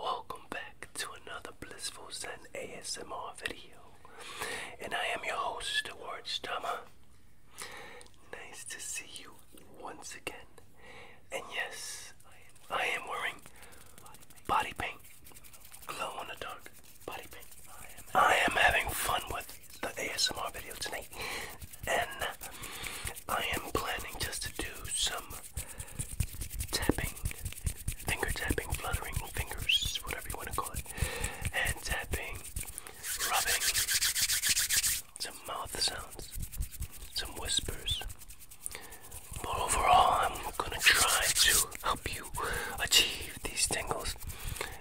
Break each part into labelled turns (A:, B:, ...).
A: Welcome back to another
B: Blissful Zen ASMR video, and I am your host, Ward Stammer. Nice to see you once again, and yes, I am wearing body paint, glow in the dark. I am having fun with the ASMR video tonight, and I am planning just to do some tapping, finger tapping, fluttering fingers, whatever you want to call it, and tapping, rubbing, some mouth sounds, some whispers. But overall, I'm gonna try to help you achieve these tingles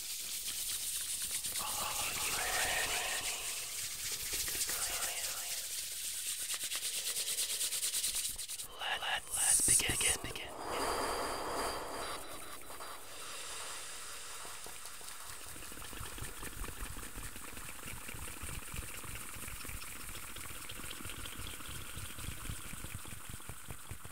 B: Are you ready to go? Let, let's begin. begin, begin. Relax,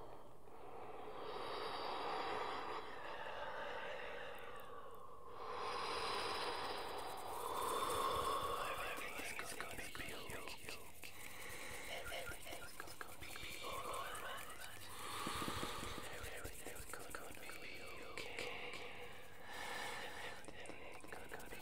A: Everything's gonna be okay. Everything's gonna be alright. Everything's gonna be okay. Everything's gonna be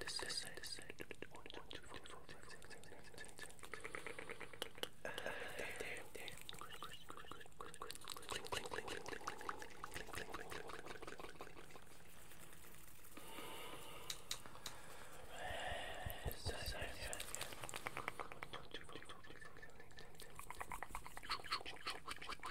B: This is it. This is it. One, two, three, four, five, six, seven, eight, nine, ten. Uh, there, there, there. Clink, clink, clink, clink, clink, clink, clink, clink, clink, clink, clink, clink, clink, clink. This is it. One, two, three, four, five, six, seven, eight, nine, ten.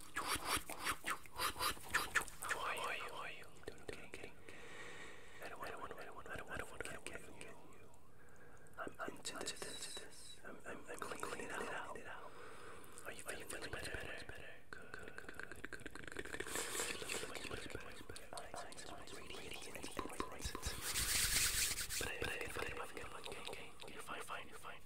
B: I'm into this. I'm, cleaning it out. Are you feeling much better? Good, good, good, good, good, good, good. Feeling much, much better. My eyes are radiant and bright. But I, but I, but I, but I, okay, okay. You're fine, fine, you're fine.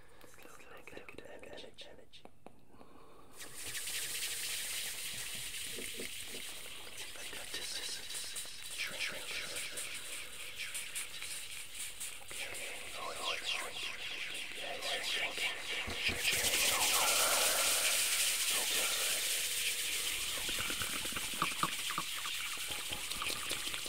B: Feels negative, negative energy. energy.
A: But that this is shrink, shrink, shrink, shrink, shrink. Okay. Oh, it's shrink, shrink, shrink, shrink. Yeah, it's shrink, shrink, shrink, shrink. Okay.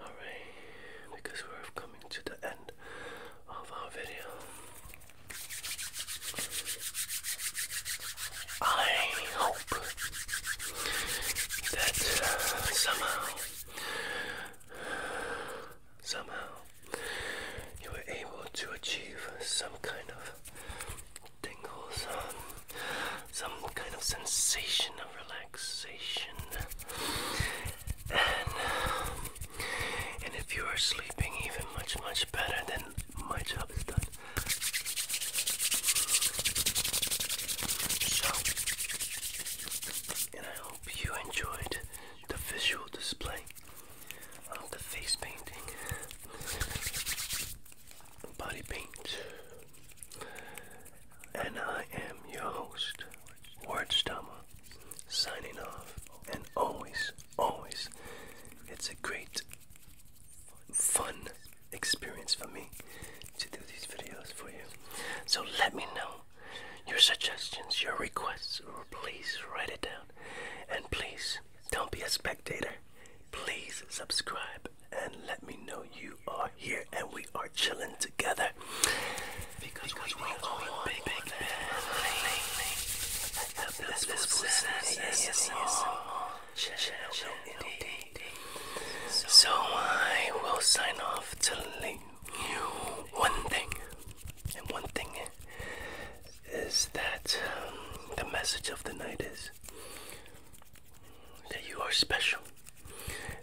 A: Alright, because we're coming to the end of our video. I
B: hope that uh, somehow, somehow, you were able to achieve some kind of tingles, um, some kind of sensation of relaxation and if you are sleeping even much much better, then my job is done. So, and I hope you enjoyed the visual display of the face painting, body paint, and I am your host, Ward Stama signing off, and always, always, it's a great fun experience for me to do these videos for you. So let me know your suggestions, your requests, please write it down. And please, don't be a spectator. Please subscribe and let me know you are here and we are chilling together. So I will sign off to telling you one thing, and one thing is that um, the message of the night is that you are special,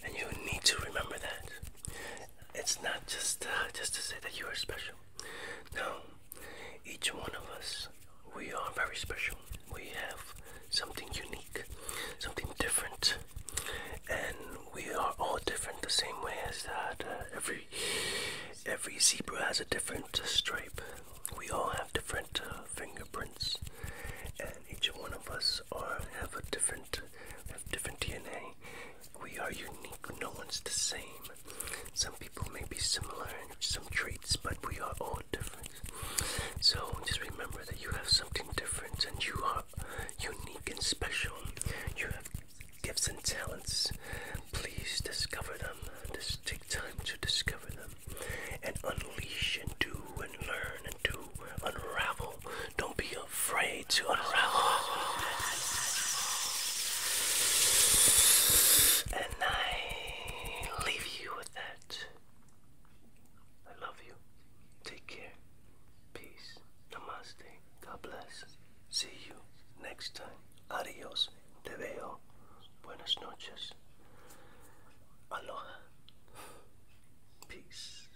B: and you need to remember that. It's not just uh, just to say that you are special.
A: No, each one of us, we are very special. We have something unique, something different, and we are all
B: different the same way as that. Uh, every every zebra has a different stripe. We all have different uh, fingerprints, and each one of us are have a different have different DNA we are unique, no one's the same. Some people may be similar in some traits, but we are all different. So just remember that you have something different and you are unique
A: and special. You have gifts and talents. Please discover
B: them. Just take time to discover them and unleash and do and learn and do. Unravel. Don't be afraid to unravel. And I leave you with that. I love you. Take care. Peace. Namaste. God bless. See you next time. Adios. Te veo. Buenas noches. Aloha. Peace.